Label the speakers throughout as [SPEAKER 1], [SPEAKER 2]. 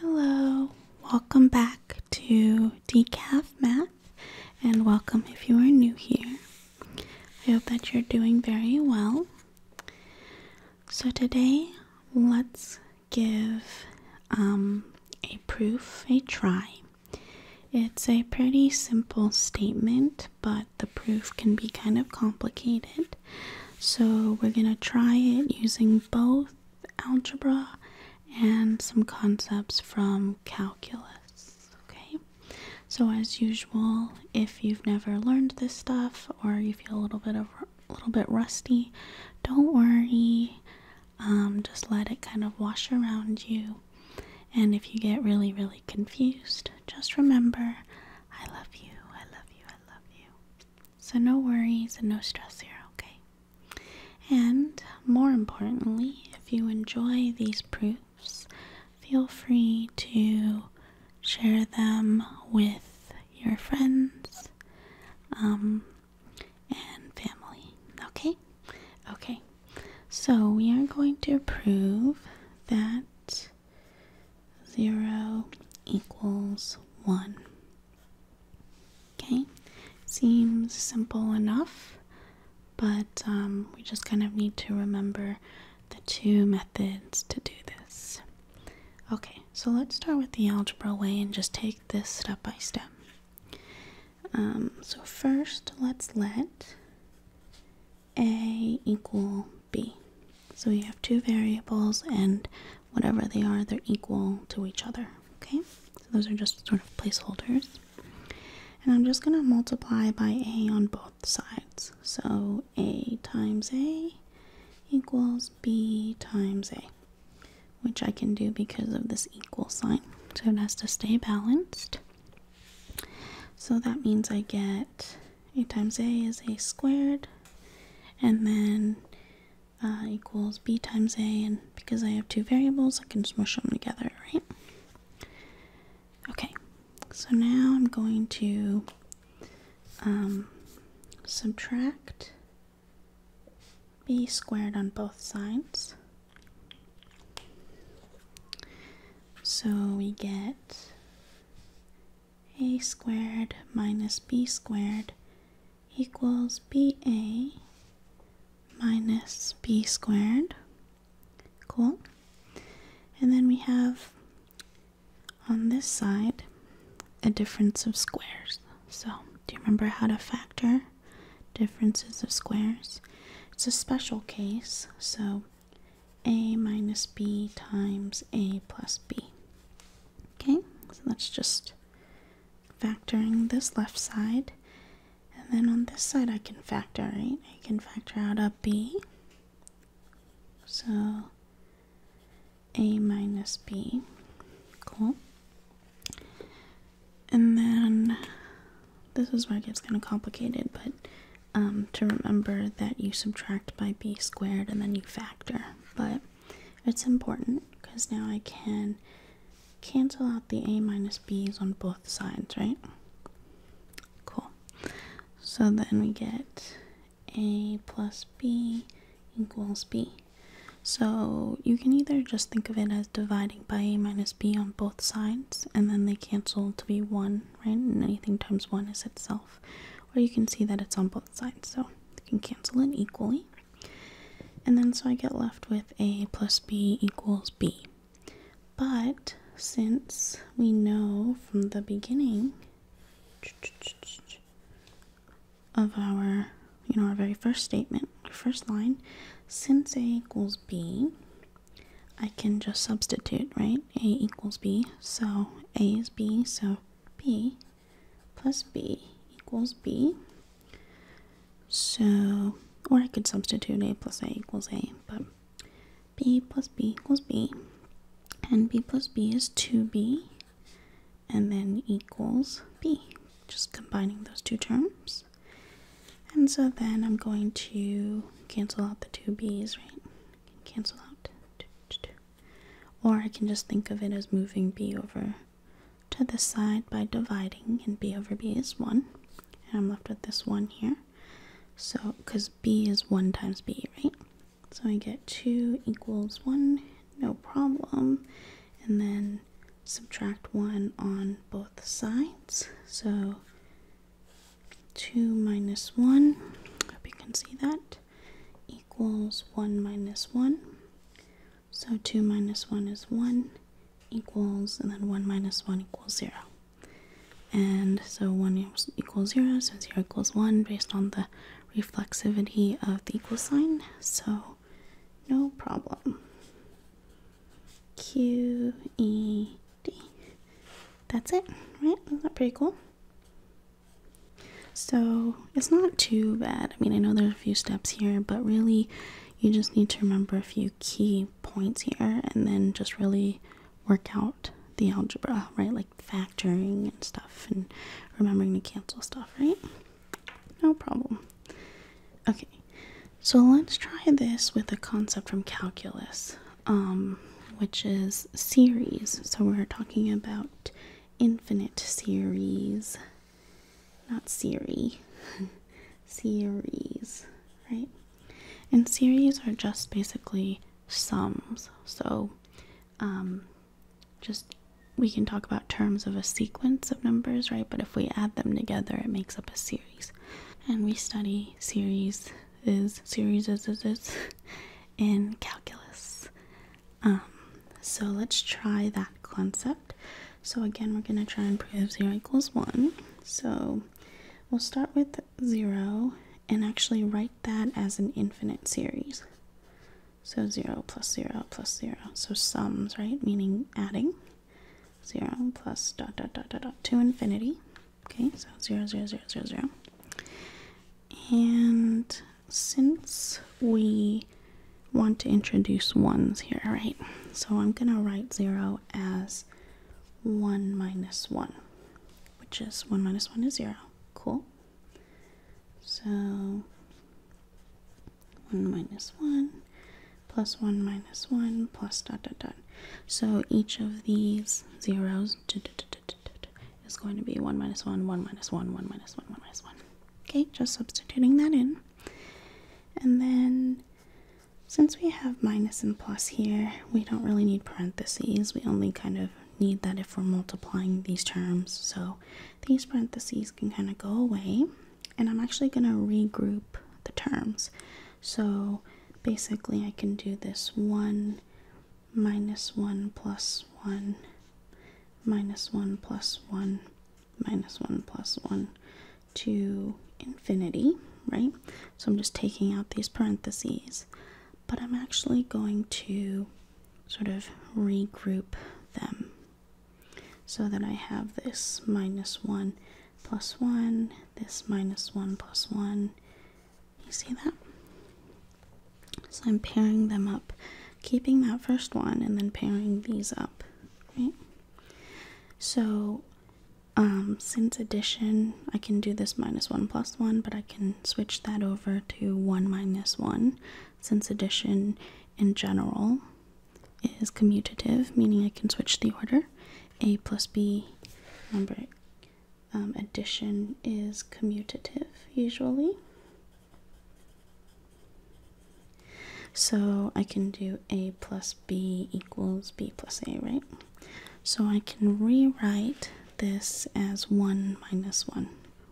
[SPEAKER 1] Hello, welcome back to Decaf Math, and welcome if you are new here. I hope that you're doing very well. So, today let's give um, a proof a try. It's a pretty simple statement, but the proof can be kind of complicated. So, we're going to try it using both algebra and some concepts from calculus. Okay, so as usual, if you've never learned this stuff or you feel a little bit of a little bit rusty, don't worry. Um, just let it kind of wash around you. And if you get really, really confused, just remember I love you, I love you, I love you. So, no worries and no stress here, okay? And more importantly, if you enjoy these proofs, feel free to share them with your friends um, and family, okay? Okay, so we are going to prove that 0 equals 1. Okay, seems simple enough, but um, we just kind of need to remember the two methods to do this. Okay, so let's start with the algebra way and just take this step by step. Um, so first, let's let A equal B. So we have two variables and whatever they are, they're equal to each other. Okay, so those are just sort of placeholders. And I'm just going to multiply by a on both sides. So a times a equals b times a, which I can do because of this equal sign. So it has to stay balanced. So that means I get a times a is a squared, and then uh, equals b times a, and because I have two variables, I can smush them together, right? Okay, so now I'm going to um, subtract b squared on both sides. So we get a squared minus b squared equals ba minus b squared. Cool. And then we have on this side a difference of squares. So, do you remember how to factor differences of squares? It's a special case, so a minus b times a plus b. Okay, so that's just factoring this left side. And then on this side I can factor, right? I can factor out a b. So a minus b. Cool. And then this is why it gets kind of complicated, but um, to remember that you subtract by b squared and then you factor. But it's important because now I can cancel out the a minus b's on both sides, right? Cool. So then we get a plus b equals b. So you can either just think of it as dividing by a minus b on both sides, and then they cancel to be 1, right? anything times 1 is itself or you can see that it's on both sides so you can cancel it equally and then so I get left with a plus b equals b but since we know from the beginning of our you know our very first statement first line since a equals b I can just substitute right a equals b so a is b so b plus b equals b. So, or I could substitute a plus a equals a, but b plus b equals b. And b plus b is 2b, and then equals b, just combining those two terms. And so then I'm going to cancel out the two b's, right? Cancel out. two. Or I can just think of it as moving b over to this side by dividing, and b over b is 1. And I'm left with this 1 here. So, because b is 1 times b, right? So I get 2 equals 1, no problem. And then subtract 1 on both sides. So 2 minus 1, hope you can see that, equals 1 minus 1. So 2 minus 1 is 1 equals, and then 1 minus 1 equals 0. And so 1 equals 0, so 0 equals 1 based on the reflexivity of the equal sign. So no problem. Q, E, D. That's it, right? Isn't that pretty cool? So it's not too bad. I mean, I know there's a few steps here, but really you just need to remember a few key points here and then just really work out the algebra, right? Like factoring and stuff and remembering to cancel stuff, right? No problem. Okay, so let's try this with a concept from calculus, um, which is series. So we're talking about Infinite series, not series. series, right? And series are just basically sums. So, um, just we can talk about terms of a sequence of numbers, right? But if we add them together, it makes up a series. And we study series is series is, is, is in calculus. Um, so let's try that concept. So again, we're going to try and prove 0 equals 1. So we'll start with 0 and actually write that as an infinite series. So 0 plus 0 plus 0. So sums, right? Meaning adding. 0 plus dot dot dot dot dot to infinity. Okay, so 0, 0, 0, 0, 0. And since we want to introduce ones here, right? So I'm going to write 0 as 1 minus 1, which is 1 minus 1 is 0. Cool. So 1 minus 1 plus 1 minus 1 plus dot dot dot. So each of these zeros is going to be 1 minus 1, 1 minus 1, 1 minus 1, 1 minus 1. Okay, just substituting that in. And then since we have minus and plus here, we don't really need parentheses. We only kind of need that if we're multiplying these terms. So these parentheses can kind of go away. And I'm actually going to regroup the terms. So basically I can do this 1 minus 1 plus 1 minus 1 plus 1 minus 1 plus 1 to infinity, right? So I'm just taking out these parentheses, but I'm actually going to sort of regroup them so that I have this minus 1 plus 1, this minus 1 plus 1. You see that? So I'm pairing them up, keeping that first one and then pairing these up, right? So um, since addition, I can do this minus 1 plus 1, but I can switch that over to 1 minus 1 since addition in general is commutative, meaning I can switch the order. A plus B, remember, um, addition is commutative usually. So I can do a plus b equals b plus a, right? So I can rewrite this as 1 minus 1.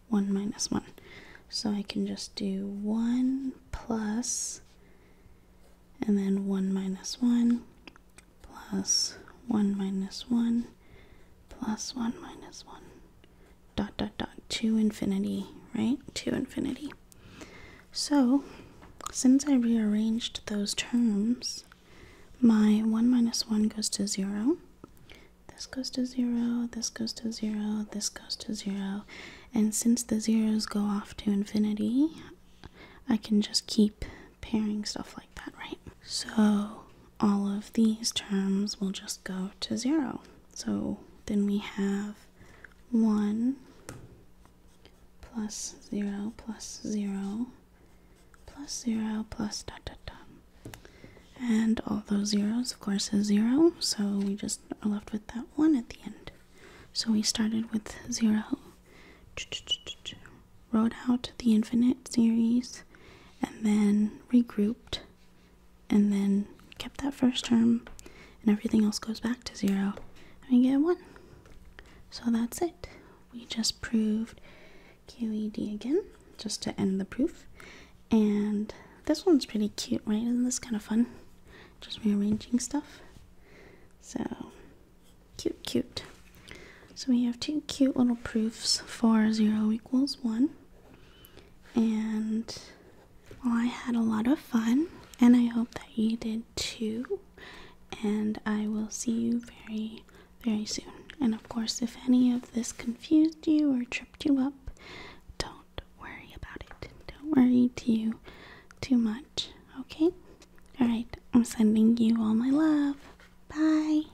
[SPEAKER 1] 1 minus 1. So I can just do 1 plus, and then 1 minus 1, plus 1 minus 1, plus 1 minus 1 dot dot dot to infinity, right? To infinity. So, since I rearranged those terms, my 1 minus 1 goes to 0. This goes to 0, this goes to 0, this goes to 0. And since the zeros go off to infinity, I can just keep pairing stuff like that, right? So all of these terms will just go to zero. So then we have 1 plus 0 plus 0 plus 0 plus dot dot dot. And all those zeros, of course, is 0, so we just are left with that 1 at the end. So we started with 0, wrote out the infinite series, and then regrouped and then kept that first term and everything else goes back to zero and we get one. So that's it. We just proved QED again just to end the proof. And this one's pretty cute, right? Isn't this kind of fun? Just rearranging stuff. So cute, cute. So we have two cute little proofs for 0 equals 1 and I had a lot of fun, and I hope that you did too. And I will see you very, very soon. And of course, if any of this confused you or tripped you up, don't worry about it. Don't worry too, too much. Okay? Alright, I'm sending you all my love. Bye.